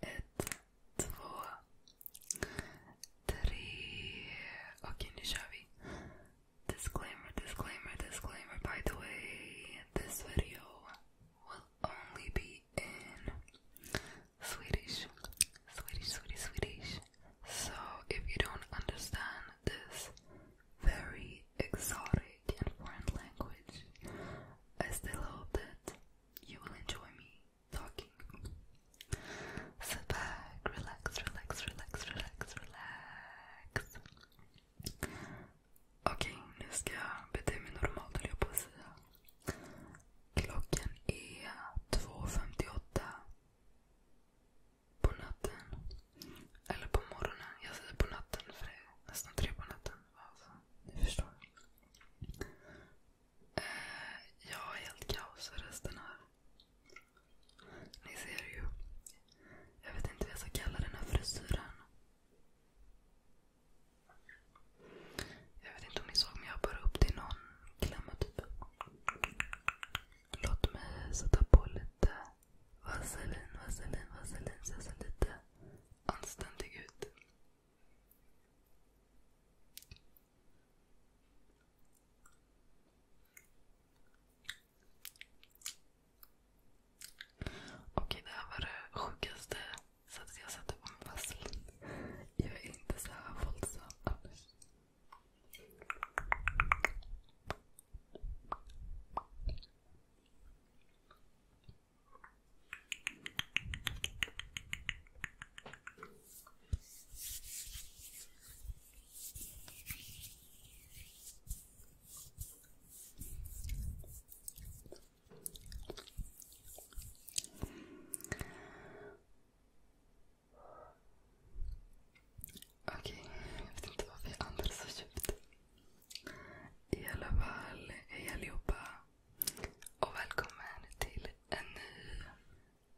ett, två, three. Okay, Nishavi. Disclaimer, disclaimer, disclaimer. By the way, this video will only be in Swedish. Swedish, Swedish, Swedish. So if you don't understand this very exotic and foreign language, I still hope that you will enjoy me talking. Sit back, relax, relax, relax, relax, relax. Okej, nu ska jag bete mig normalt höll jag på att säga. Klockan är 2.58 på natten. Eller på morgonen. Jag säger på natten för det är nästan tre på natten. Alltså, ni förstår. Eh, jag har helt kaos i resten här. Ni ser ju. Jag vet inte vad jag ska kalla den här frisyren. Jag vet inte om ni såg men jag bara upp till någon klämma typ Låt mig sätta på lite vaselin, vaselin, vaselin så jag ser lite anständig ut. Okej, det här var det sjukaste sättet jag satte på mig fast. Jag är inte så här våldsam annars. Okej, jag vet inte varför jag andas så djupt. I alla fall, hej allihopa och välkommen till en ny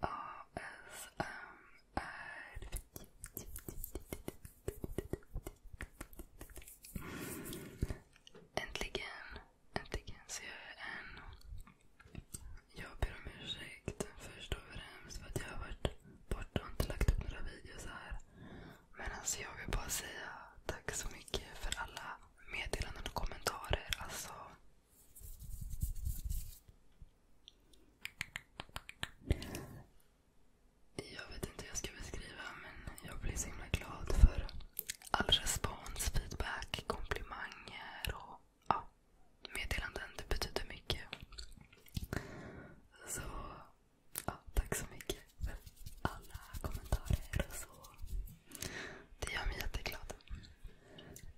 ASMR. Äntligen, äntligen så gör jag en. Jag ber om ursäkt först och främst för att jag har varit borta och inte lagt upp några videos här. Men alltså jag vill bara säga tack så mycket för alla meddelanden och kommentarer. Alltså... Jag vet inte hur jag ska beskriva men jag blir så himla glad för all respons, feedback, komplimanger och ja, meddelanden. Det betyder mycket. Så ja, tack så mycket alla kommentarer och så. Det gör mig jätteglad.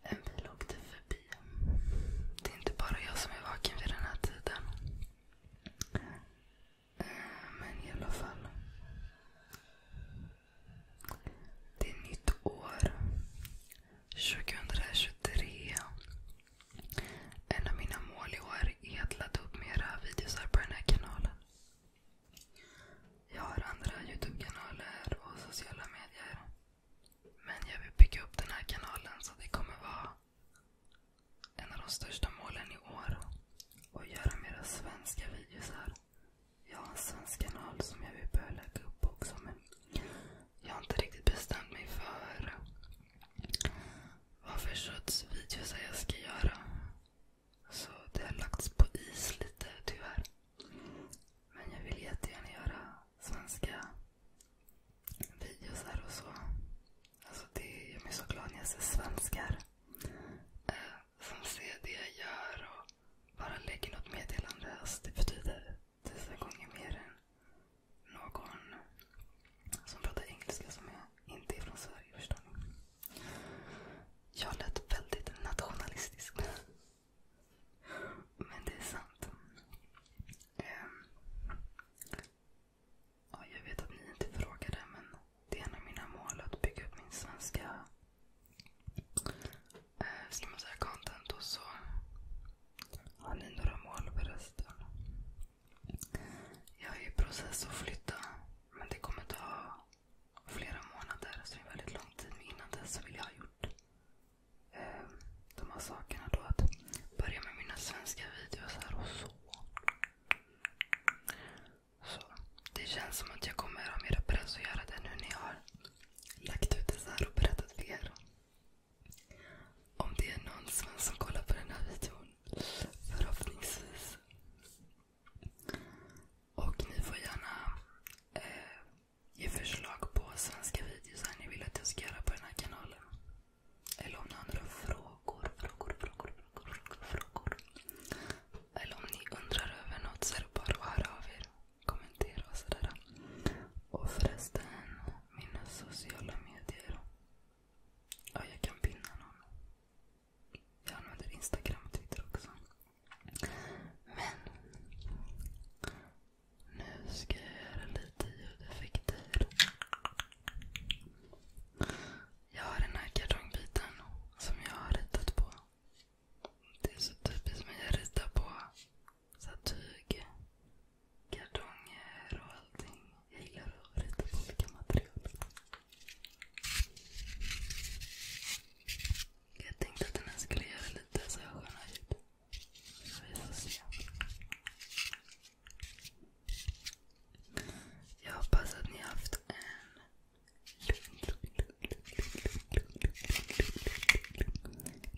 En bil åkte förbi. Det är inte bara jag som är vaken vid den här tiden. Eh, men i alla fall. Det är nytt år. 2023. En av mina mål i år är att ladda upp mera videos här på den här kanalen. Jag har andra youtube och sociala medier. Men jag vill bygga upp den här kanalen så det kommer vara en av de största målen i år. Och göra mera svenska videos Jag har en svensk kanal som jag vill börja lägga upp också. Men jag har inte riktigt bestämt mig för vad för sorts videos jag ska göra. Så det har lagts på is lite tyvärr. Men jag vill jättegärna göra svenska videos och så. Alltså, det gör mig så glad när jag ser svenskar eh, som ser det jag gör och bara lägger något meddelande. Alltså, det betyder tusen gånger mer än någon som pratar engelska som inte är från Sverige. Jag lät väldigt nationalistisk. Men det är sant. Ehm. jag vet att ni inte frågade, men det är en av mina mål att bygga upp min svenska eh, ska man säga, content. Och så har ni några mål förresten? Jag är i process att flytta. Men det kommer ta flera månader. Så det är väldigt lång tid. Men innan dess så vill jag ha gjort eh, de här sakerna. Då, att börja med mina svenska videos här och så. Så Det känns som att jag kommer ha mer press att göra det nu när jag har lagt ut det så här och berättat för er. Om det är någon svensk som kollar på den här videon Förhoppningsvis. Och ni får gärna eh, ge förslag på svenska videos som ni vill att jag ska göra på den här kanalen. Eller om ni har några frågor, frågor, frågor, frågor, frågor. Eller om ni undrar över något så är det bara att höra av er. Kommentera och sådär. Och förresten, mina sociala medier. Ja, jag kan pinna någon. Jag använder Instagram och Twitter också. Men nu ska jag göra lite ljudeffekter. Jag har den här kartongbiten som jag har ritat på. Det är så typiskt mig att rita på tyg, kartonger och allting. Jag gillar att på olika material. Jag tänkte att den här skulle göra lite så sköna ljud. Vi får se. Jag hoppas att ni har haft en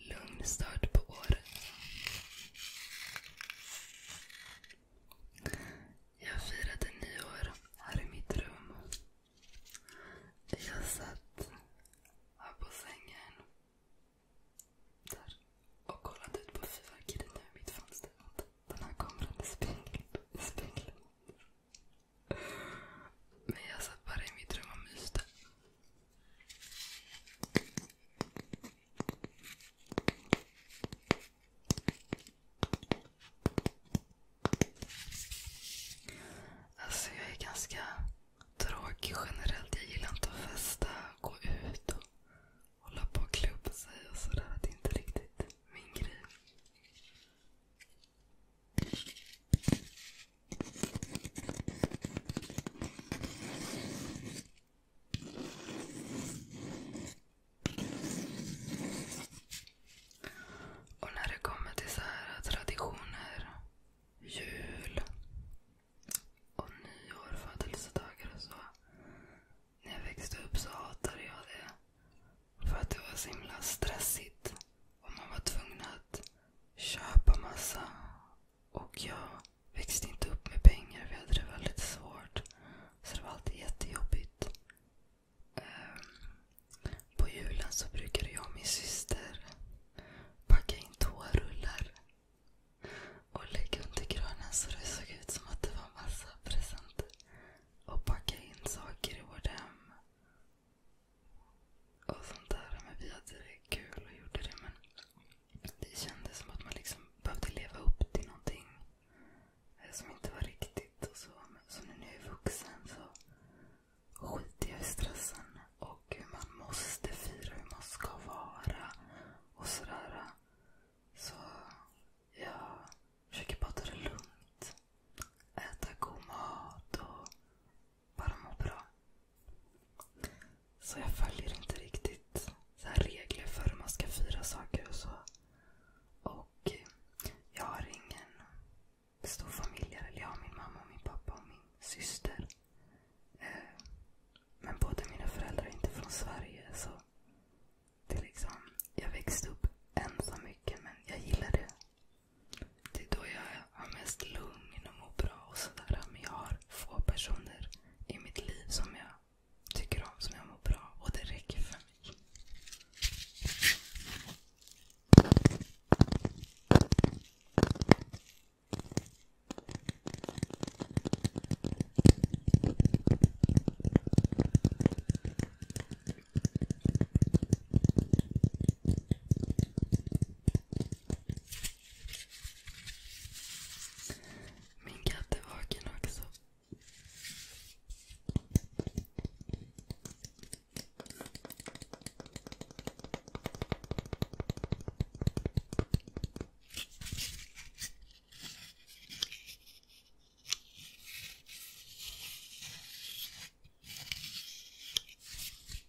lugn start på året. Jag firade nyår här i mitt rum. Jag satt här på sängen där, och kollade ut på fyrverkeriet nu i mitt fönster. Den här kameran är speglad. Men jag satt bara i mitt rum och myste. Alltså jag är ganska tråkig generellt. Jag gillar inte att festa, gå ut och hålla på och klubba sig och sådär. Det är inte riktigt min grej. Och när det kommer till så traditioner, jul och nyår, födelsedagar och så. När jag växte upp så hatade jag det. För att det var så himla stressigt. Och man var tvungen att köpa massa. Växte inte upp med pengar. Vi hade det väldigt svårt. Så det var alltid jättejobbigt. Ehm, på julen så brukade jag och min syster packa in toarullar och lägga under granen så det såg ut som att det var massa presenter. Och packa in saker i vårt hem. Och sånt där. Men vi hade det kul och gjorde det. Men det kändes som att man liksom behövde leva upp till någonting som inte var riktigt. och så. Men så nu när jag är vuxen så skiter jag i stressen och hur man måste fira, hur man ska vara och sådär. Så jag försöker bara ta det lugnt. Äta god mat och bara må bra. Så jag följer inte riktigt så här regler för hur man ska fira saker och så. Och jag har ingen stor familj. Eller jag har min mamma, och min pappa och min syster. Eh, men båda mina föräldrar är inte från Sverige. så det är liksom, Jag växte upp ensam mycket men jag gillar det. Det är då jag har mest lugn och mår bra och sådär. Men jag har få personer i mitt liv som jag tycker om, som jag mår bra och det räcker för mig. Min katt är vaken också.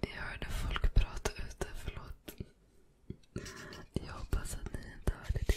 Jag hörde folk prata ute, förlåt. Jag hoppas att ni inte hörde det.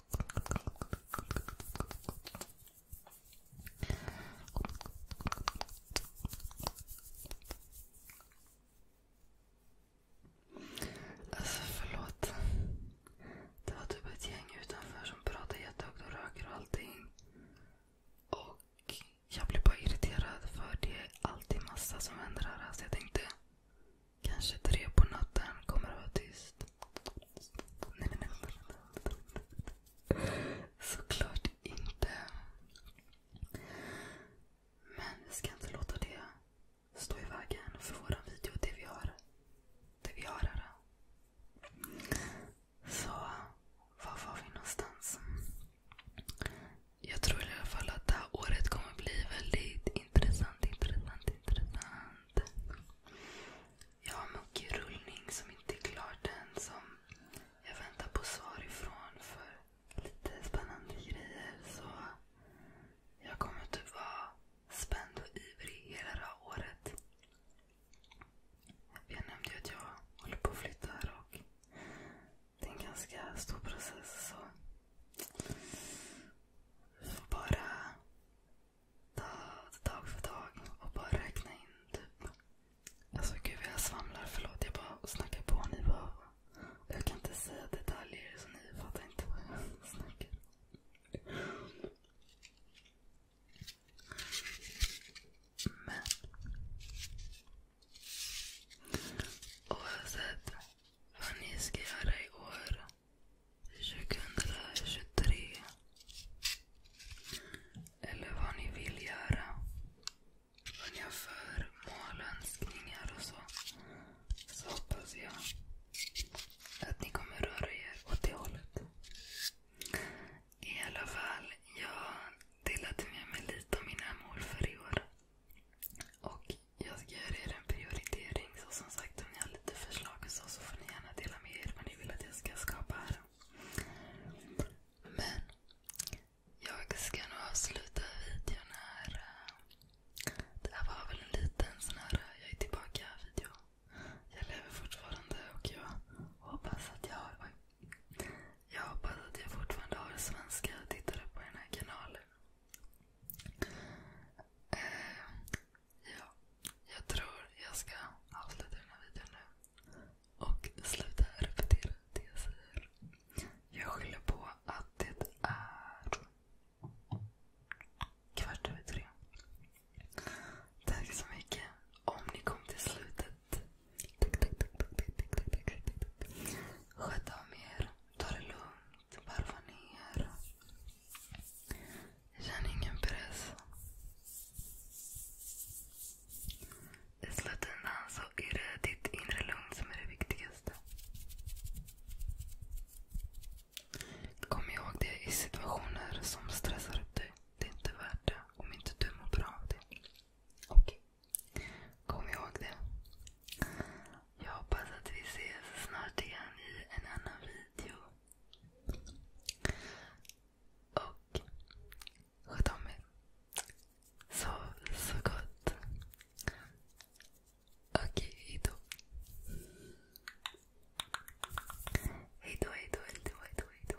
Alltså förlåt. Det var typ ett gäng utanför som pratade jättehögt och röker och allting. Och jag blev bara irriterad för det är alltid massa som händer här. Så jag tänkte Kanske tre på natten kommer att vara tyst. Såklart inte. Men vi ska inte låta det stå i vägen för vår video, det vi har. Det vi har här. Så, var var vi någonstans? Jag tror i alla fall att det här året kommer bli väldigt intressant, intressant, intressant. Jag har mycket rullning som inte är klart än. jag väntar på svar ifrån för lite spännande grejer. jag kommer typ vara spänd och ivrig hela det här året. Jag nämnde ju att jag håller på att flytta och det är en ganska stor process. så bara ta dag för dag och bara räkna in typ. Alltså gud jag svamlar. Förlåt jag bara snackar på. Ni bara, jag kan inte säga detaljer så ni fattar inte vad jag snackar Men vad ni ska göra i år. 2023. Eller vad ni vill göra. Vad ni har för mål önskningar och så. Så hoppas jag att ni kommer röra er åt det hållet. I alla fall, jag delade med mig lite av mina mål för i år. Och jag ska göra er en prioritering. som sagt, om ni har lite förslag och så, så får ni gärna dela med er vad ni vill att jag ska skapa här. Men jag ska nog avsluta videon här. Det här var väl en liten sån här jag är tillbaka-video. Jag lever fortfarande och jag hoppas att jag har... Jag hoppas att jag fortfarande har svenska tittare på den här kanalen. Eh, jag tror jag ska avsluta den här videon nu. Och sluta repetera det jag säger. Jag skyller på att det är kvart över tre. Tack så mycket om ni kom till slutet. Sköt om er. Ta det lugnt. Varva ner. Känn ingen press. I slutändan är det ditt inre lugn som är det viktigaste. Kom ihåg det i situationer som stressar upp dig. Det är inte värt det om inte du mår bra av det. Okej. Okay. Kom ihåg det. Jag hoppas att vi ses snart igen i en annan video. Och sköt om er. Sov så gott. Okej, hejdå. Hejdå, hejdå, hejdå, hejdå, hejdå.